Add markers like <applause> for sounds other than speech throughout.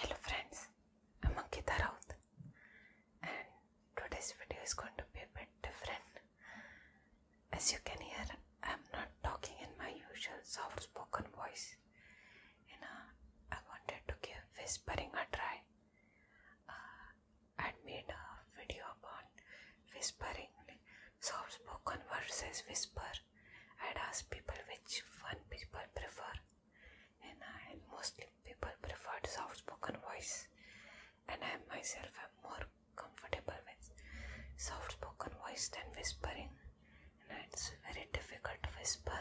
Hello friends, I'm Ankita Raut and today's video is going to be a bit different. As you can hear, I'm not talking in my usual soft spoken voice. You know, I wanted to give whispering a try. Uh, I'd made a video about whispering, soft spoken versus whisper. I'd asked people which one people prefer and mostly people prefer soft spoken voice and I myself am more comfortable with soft spoken voice than whispering and it's very difficult to whisper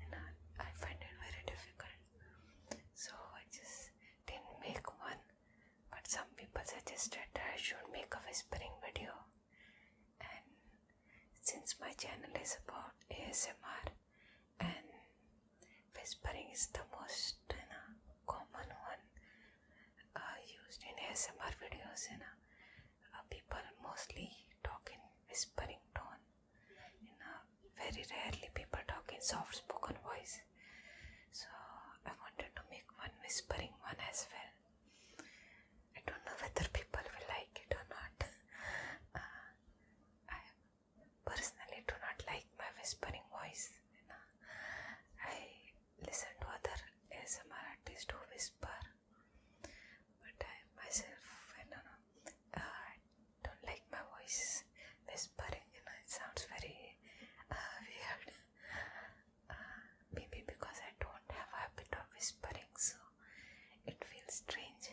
and I, I find it very difficult so I just didn't make one but some people suggested that I should make a whispering video and since my channel is about ASMR and whispering is the most common one uh, used in ASMR videos, you uh, people mostly talk in whispering tone. You know, very rarely people talk in soft spoken voice. So I wanted to make one whispering one as well. I don't know whether people will like it or not. Uh, I personally do not like my whispering voice. You know? I listen to other ASMR artists who whisper, but I myself, I don't know, uh, don't like my voice whispering. You know, it sounds very uh, weird. maybe because I don't have a habit of whispering, so it feels strange.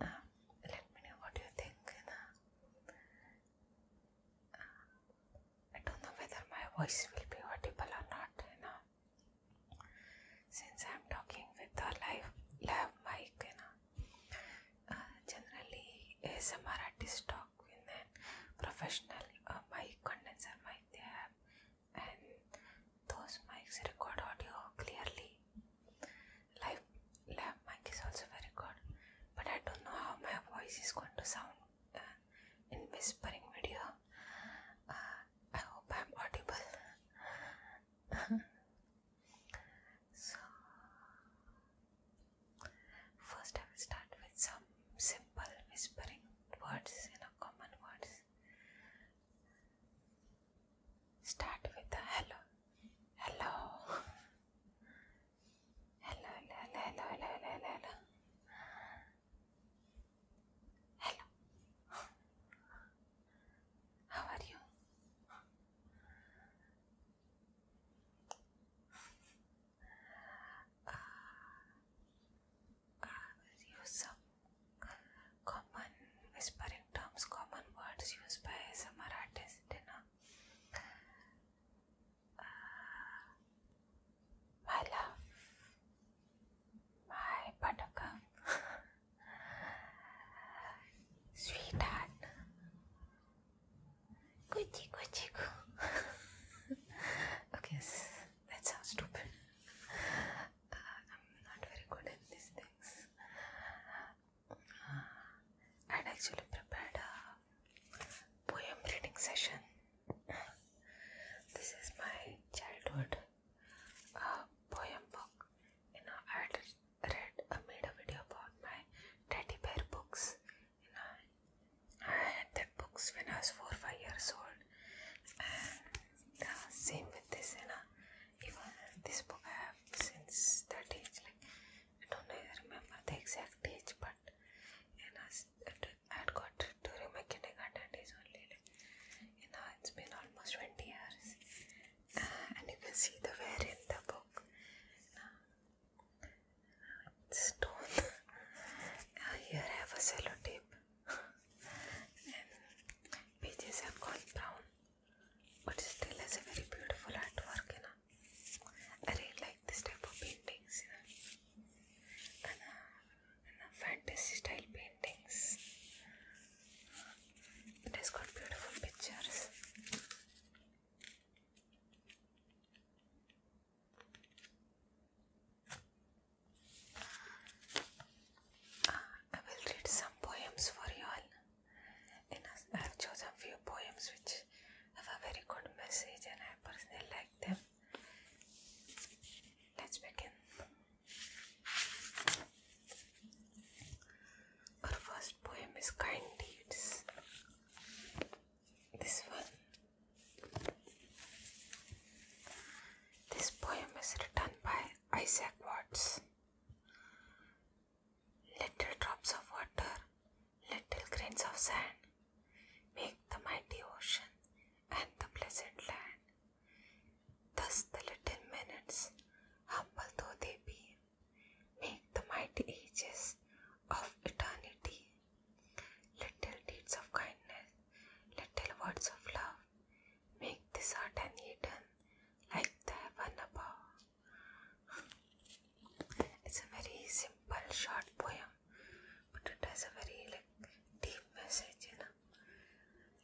Um, let me know what you think. Uh, I don't know whether my voice will be audible or not. You since I'm talking with a live live mic, you know, uh, generally ASMR talk with a professional uh, condenser mic. They and those mics record audio clearly. Live lab mic is also very good, but I don't know how my voice is going to sound uh, in whispering video. Uh, I hope I'm audible. <laughs> so, first I will start with some simple whispering words, you know, common words. Start with the hello. Hello. Hello, hello, hello, hello, hello, hello. Hello. How are you? Uh, use some common whispering terms, common words used by ASMR artists, you know. Uh, my love, my buttercup, <laughs> sweetheart, Gucci Gucci <laughs> Okay, that sounds stupid. I'm not very good at these things. Uh, I'd actually prepared a poem reading session. this is my childhood a uh, poem book. You know, I'd read, I uh, made a video about my teddy bear books. You know, I had that books when I was four, five years old, same with this and you know, even this book I have since that age like I don't remember the exact age but you know, I had got during my kindergarten days only like you it's been almost 20 years uh, and you can see the wear in the book <laughs> uh, it's torn here I have a sellotape and pages <laughs> have gone brown but still has a very beautiful artwork you know I really like this type of paintings you know uh, fantasy style paintings it has got beautiful pictures I will read some poems for you all. I have chosen few poems which have a very good message and I personally like them. Let's begin. Our first poem is Kind Deeds. This one this poem is written by Isaac Watts. Little drops of water, little grains of sand, make the mighty ocean and the pleasant land. Thus the little minutes, humble though they be, make the mighty ages of eternity. Little deeds of kindness, little words of love, make this heart an Eden like the heaven above. It's a very simple, short poem, but it has a very like deep message. You know,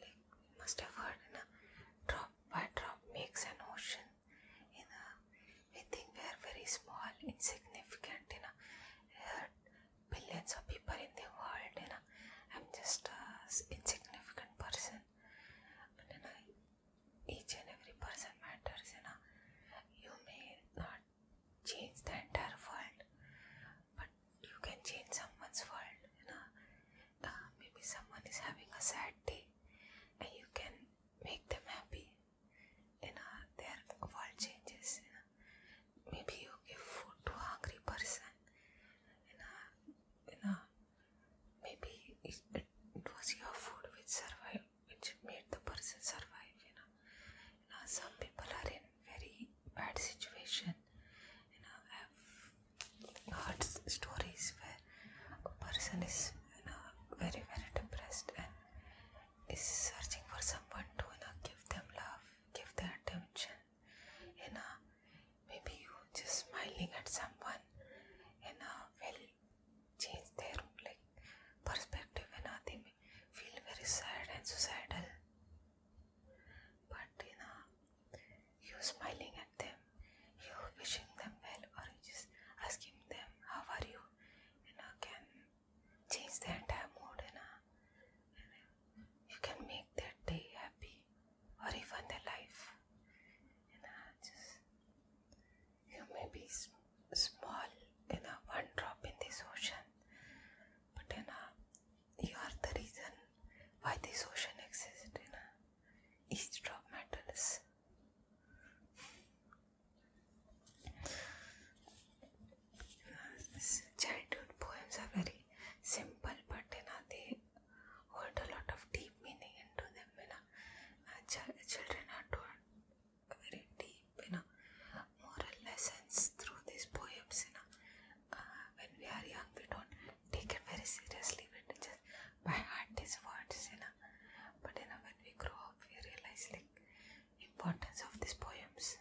like we must have heard, you know, drop by drop makes an ocean. You know, we think we are very small, insignificant. You know, billions of people in the world and I'm just a insignificant person and each and every person matters and you may not change the entire world but you can change someone's world you know uh, maybe someone is having a sad day and you can make them happy you know their world changes you know maybe you give food to a hungry person and uh, and uh, maybe it, was your food which survived which made the person survive you know you know some people are in very bad situation you know i've heard stories where a person is you know very very depressed and is searching for someone to you know, give them love give their attention you know maybe you just smiling at someone you know will change their like perspective you know they may feel very sad and suicidal but you know you smiling at them you wishing them well or you just asking them how are you you know can change the entire mood and you can make that day happy or even the life You know, just you may be small you know, one drop in this ocean but in a, you are the reason why this ocean exists You know, each drop matters childhood poems are very simple, but you know, they hold a lot of deep meaning into them. You know, uh, children are taught very deep, you know, moral lessons through these poems. You know, uh, when we are young, we don't take it very seriously. We just by heart these words, you know. But you know, when we grow up, we realize like importance of these poems.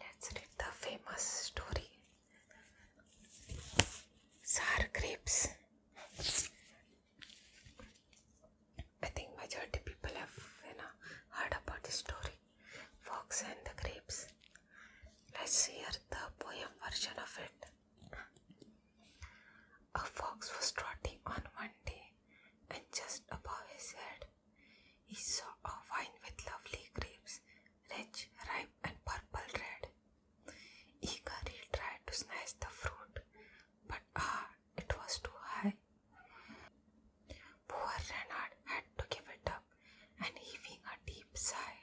Let's read the famous story Sour Grapes. I think majority people have you know, heard about this story Fox and the Grapes. Let's hear the poem version of it. A fox was trotting on one day, and just above his head, he saw a vine with lovely grapes, rich, ripe, and purple red. Eagerly tried to snatch the fruit, but ah, it was too high. Poor Renard had to give it up, and heaving a deep sigh,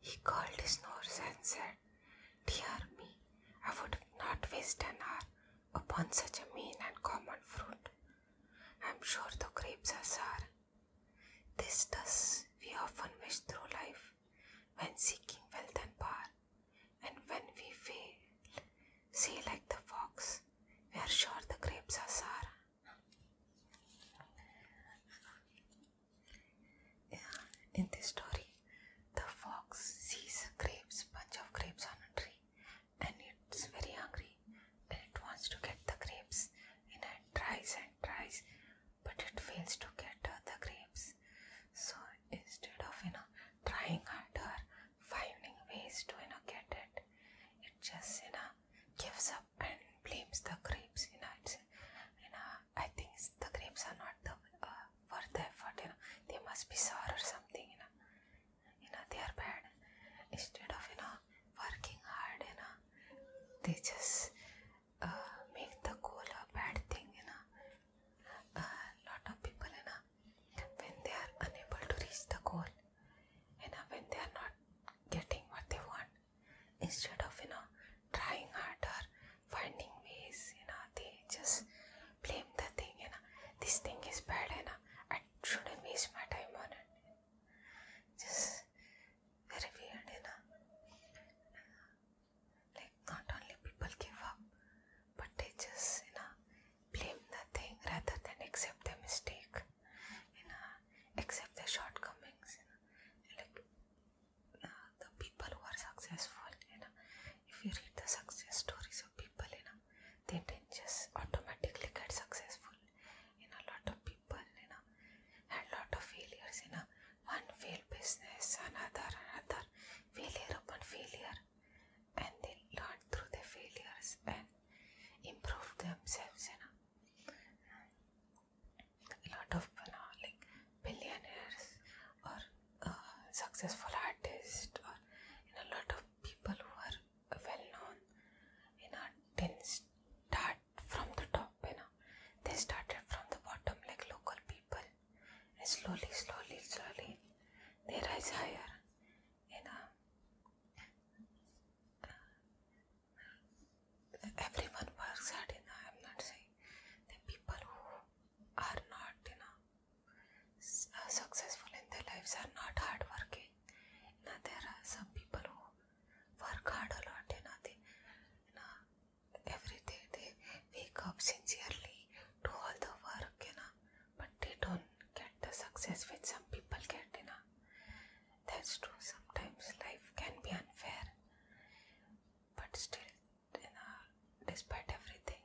he called his nose and said, Dear me, I would not waste an hour upon such a mean and common fruit. I am sure the grapes are sour. This does we often wish through life when seeking wealth and power, and when we fail, see like the fox, we are sure the grapes are sour. in this story, the fox sees a grapes, bunch of grapes on a tree, and it's very hungry and it wants to get the grapes. And it tries and tries, but it fails to get uh, the grapes. So instead of you know trying harder, finding ways to you know get it, it just you know gives up and blames the grapes. You know, it's you know I think the grapes are not uh, worth the effort. You know, they must be sour or something. You know, you know they are bad. Instead of you know working hard, you know, they just uh, make the goal a bad thing. You know, a lot of people, you know, when they are unable to reach the goal, you know, when they are not getting what they want, instead of you know trying harder finding ways, you know, they just blame the thing, you know, this thing is bad, you know, I shouldn't waste my time on it. Just very weird, you know. Like, not only people give up, but they just, you know, blame the thing rather than accept the mistake, you know, accept the shortcomings, you know, like, the people who are successful, you know, if you read the success stories of people, you know, they didn't just automatically get successful. You know, a lot of people, you know, had lot of failures, you know, one failed business, another, another, failure upon failure, and they learned through the failures and improved themselves, you know. A lot of you know, like billionaires or successful artist or a lot of people who are well known in art didn't from the top you know they started from the bottom like local people and slowly slowly slowly they rise higher you know everyone works hard you know i'm not saying the people who are not you know uh, successful in their lives are not hardworking. You know, there are some people who work hard a lot. You know, they, you know, every day they wake up sincerely, do all the work. You know, but they don't get the success which some people get. You know, that's true. Sometimes life can be unfair, but still in our, despite everything,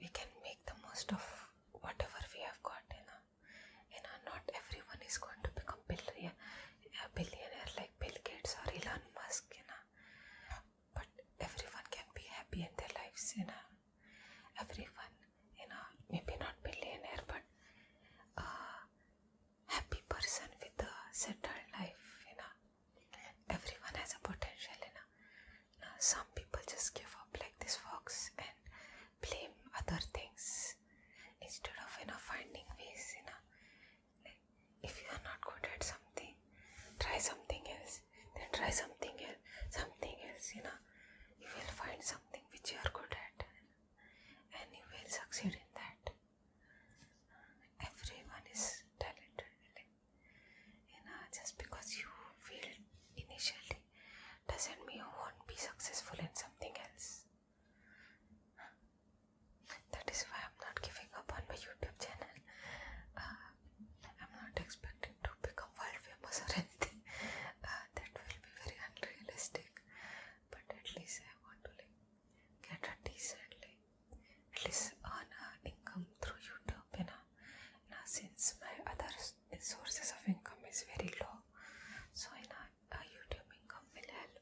we can make the most of whatever we have got. You know, you know, not everyone is going to become billion, a billionaire like Bill Gates or Elon Musk. You know, but everyone can be happy in their lives. You know, everyone. You know, maybe not billionaire, but a uh, happy person with a settled life. You know, everyone has a potential you know? some people just give up like this fox and blame other things instead of you know finding ways you know if you are not good at something try something else then try something else something else you know you will find something which you are good at and you will succeed in that everyone is talented you know just because you feel initially doesn't mean you won't be successful in something else that is why i'm not giving up on my youtube channel uh, i'm not expecting to become world famous or anything uh, that will be very unrealistic but at least i want to like get a decently, at least earn an income through YouTube. You know? Now, since my other sources of income is very low, so you know, YouTube income will help.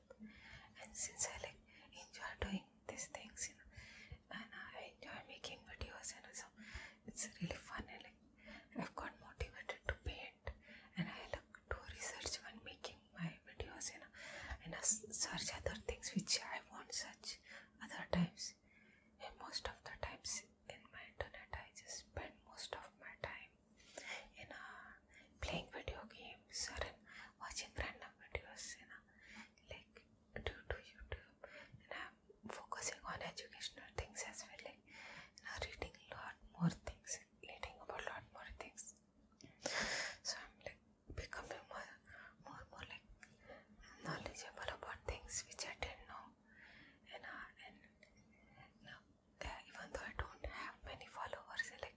And since I like enjoy doing these things, you know, and I enjoy making videos, and you know, so it's really fun. And like, I've got motivated to paint, and I like to research when making my videos and I search other things which I won't search other times and most of the times in my internet I just spend most of my time in uh, playing video games or watching random videos you know like due to YouTube and I'm focusing on educational things as well like you know, reading a lot more things reading about a lot more things so I'm like becoming more, more, more like knowledgeable about things which I didn't know, and uh, and now uh, even though I don't have many followers, like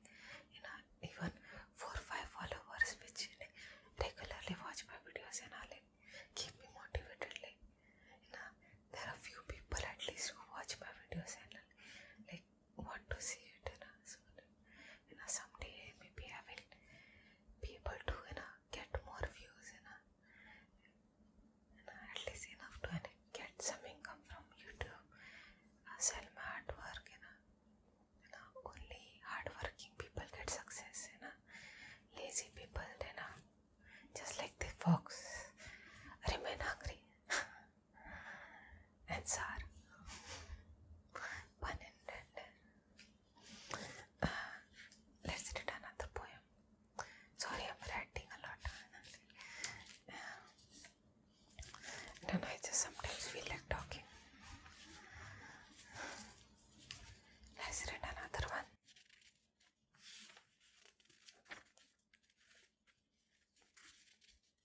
you know even four five followers which regularly watch my videos and all keep me motivated. Like you know there are few people at least who watch my videos and like want to see it in a, so, in some day maybe I will be able to you know, get more views in a, at least enough to get some income from YouTube uh, sell my artwork you know, you know, only hardworking people get success you know, lazy people you know, just like the fox remain hungry <laughs> answer pun intended uh, let's read another poem sorry I'm writing a lot uh, I just sometimes feel like talking let's read another one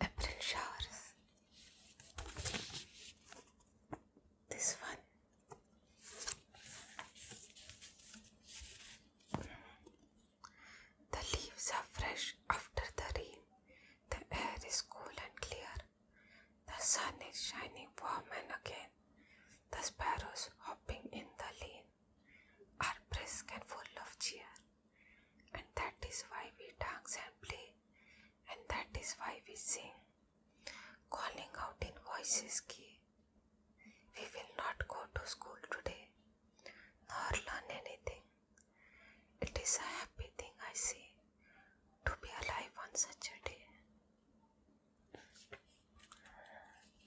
April showers. This one. The leaves are fresh after the rain. The air is cool and clear. The sun is shining warm and again. The sparrows hopping in the lane are brisk and full of cheer and that is why we dance and play, and that is why we sing, calling out in voices key. We will not go to school today, nor learn anything. It is a happy thing, I say, to be alive on such a day.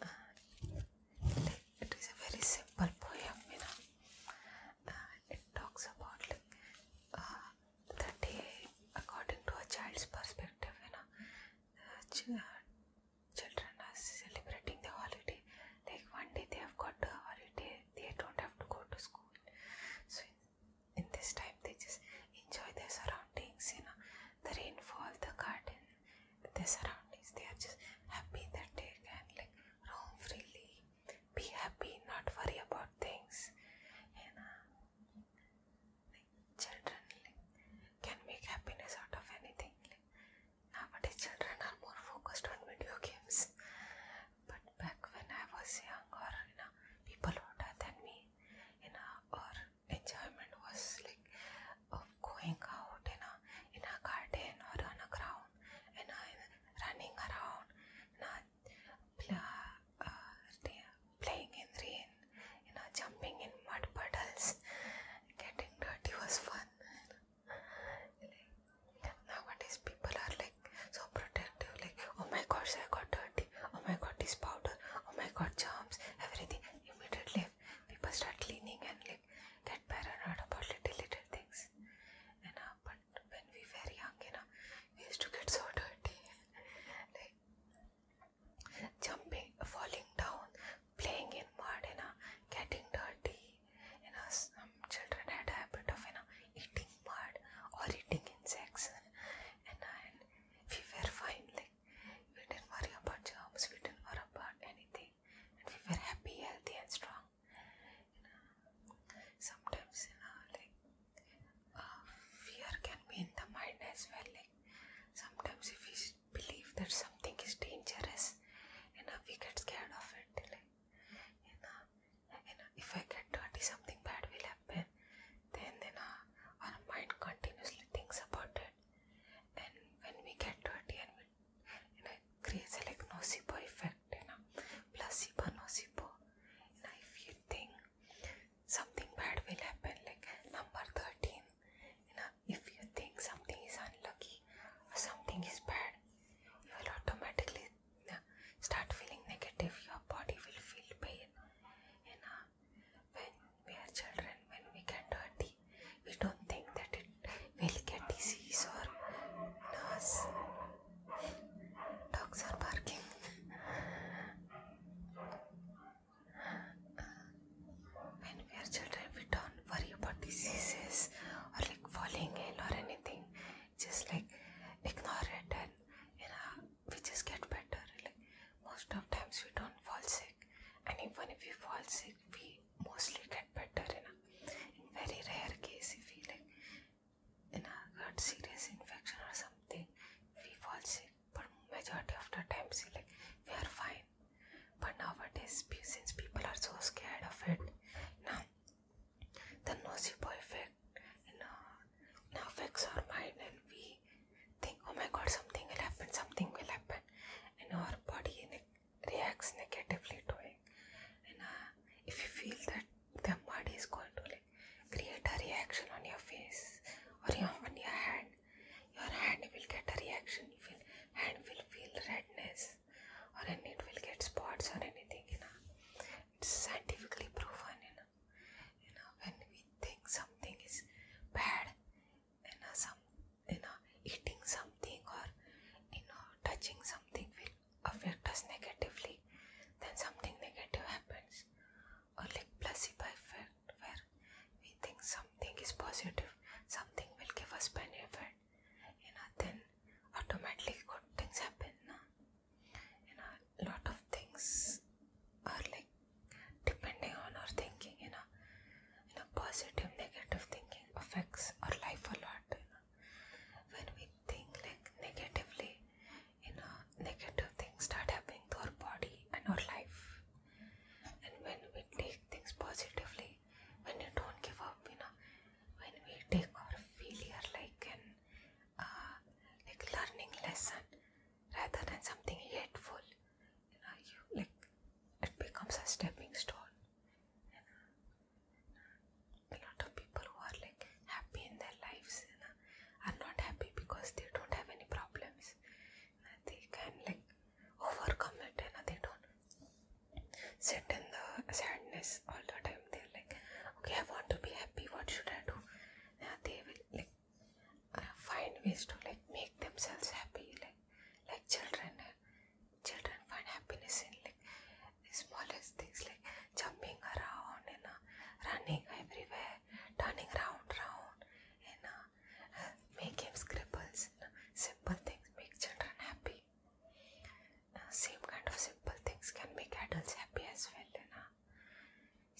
Uh, it is a very simple poem, you know it talks about like uh, the day according to a child's perspective you know uh, children are celebrating the holiday like one day they have got a holiday they don't have to go to school so in, this time they just enjoy their surroundings you know the rainfall the garden the surroundings they are just happy that they like roam freely, be happy, not worry about things. You uh, know, children can make happiness out of anything. Like, nowadays, children are more focused on video games. But back when I was young, or you know, people older than me, you know, our enjoyment was like of going out, you know, in a garden or on a ground and I'm running around, not uh, playing in the rain, you jumping in mud puddles, getting dirty was fun. nowadays, people are like so protective, like, oh my gosh, I got dirty, oh my god, this powder, oh my god, germs, everything. Immediately, people start cleaning and like get paranoid about little little things. And uh, but when we were young, you we used to get so dirty, <laughs> like jumping, falling down, playing in mud, you know, getting dirty. You know, some children had a habit of you know eating mud or eating insects, <laughs> and, uh, and we were fine. Like we didn't worry about jobs, we didn't worry about anything, and we were happy, healthy, and strong you know sometimes you know like uh, fear can be in the mind as well like sometimes if we believe that something is dangerous you know we get scared of it you know, you know if we get dirty something bad will happen then you know our mind continuously thinks about it and when we get dirty and we you know, it creates a like nocebo effect, you know, placebo, nocebo. You know, if you think something bad will happen, like number 13, you know, if you think something is unlucky or something is bad, you will automatically you know, start feeling negative. Your body will feel pain. You know, when we are children, when we get dirty, we don't think that it will get disease or nurse. Dogs are barking. when we are children, we don't worry about diseases or like falling ill or anything. Just like ignore it and you know we just get better. Like most of times we don't fall sick, and even if we fall sick, we mostly get better in a in very rare case if we like in a serious infection or something we fall sick but majority of the times we like we are fine but nowadays since people are so scared of it now the nosy boy effect you know, now affects our mind and we think oh my god something will happen something will happen in our body in it reacts negatively to it and uh, if you feel that the mud is going to like create a reaction on your face or your, on your hand your hand will get a reaction will hand will feel redness or it will get spots or anything you know it's scientifically proven you know when we think something is bad and you some you know eating something or you know touching something will affect us negatively then something negative happens or like placebo effect where we think something is positive something will give us benefit you know then automatically good things happen you know a lot of things are like depending on our thinking you know you know positive negative thinking affects our life a lot when we think like negatively you know negative things start happening to our body and our life and when we take things positively when you don't give up you know when we take our failure like an uh, like learning lesson rather than something hateful you know you like it becomes a stepping stone a lot of people who are like happy in their lives you are not happy because they don't have any problems they can like overcome it and they don't sit in the sadness all the time they're like okay i want to be happy what should i do they will like uh, find ways to like make themselves happy like like children children find happiness in like the smallest things like jumping around and uh, running everywhere, turning round round and uh, uh, making scribbles. simple things make children happy. same kind of simple things can make adults happy as well. You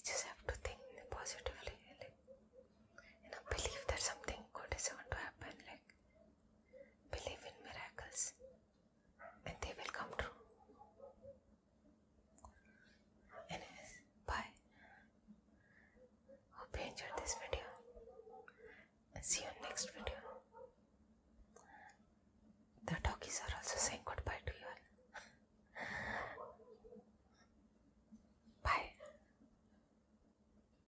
You just have to think positively. Like, believe that something good is going to happen. Like Believe in miracles and they will come true. And bye. Hope you enjoyed this video see you next video. The talkies are also saying goodbye to you <laughs> Bye.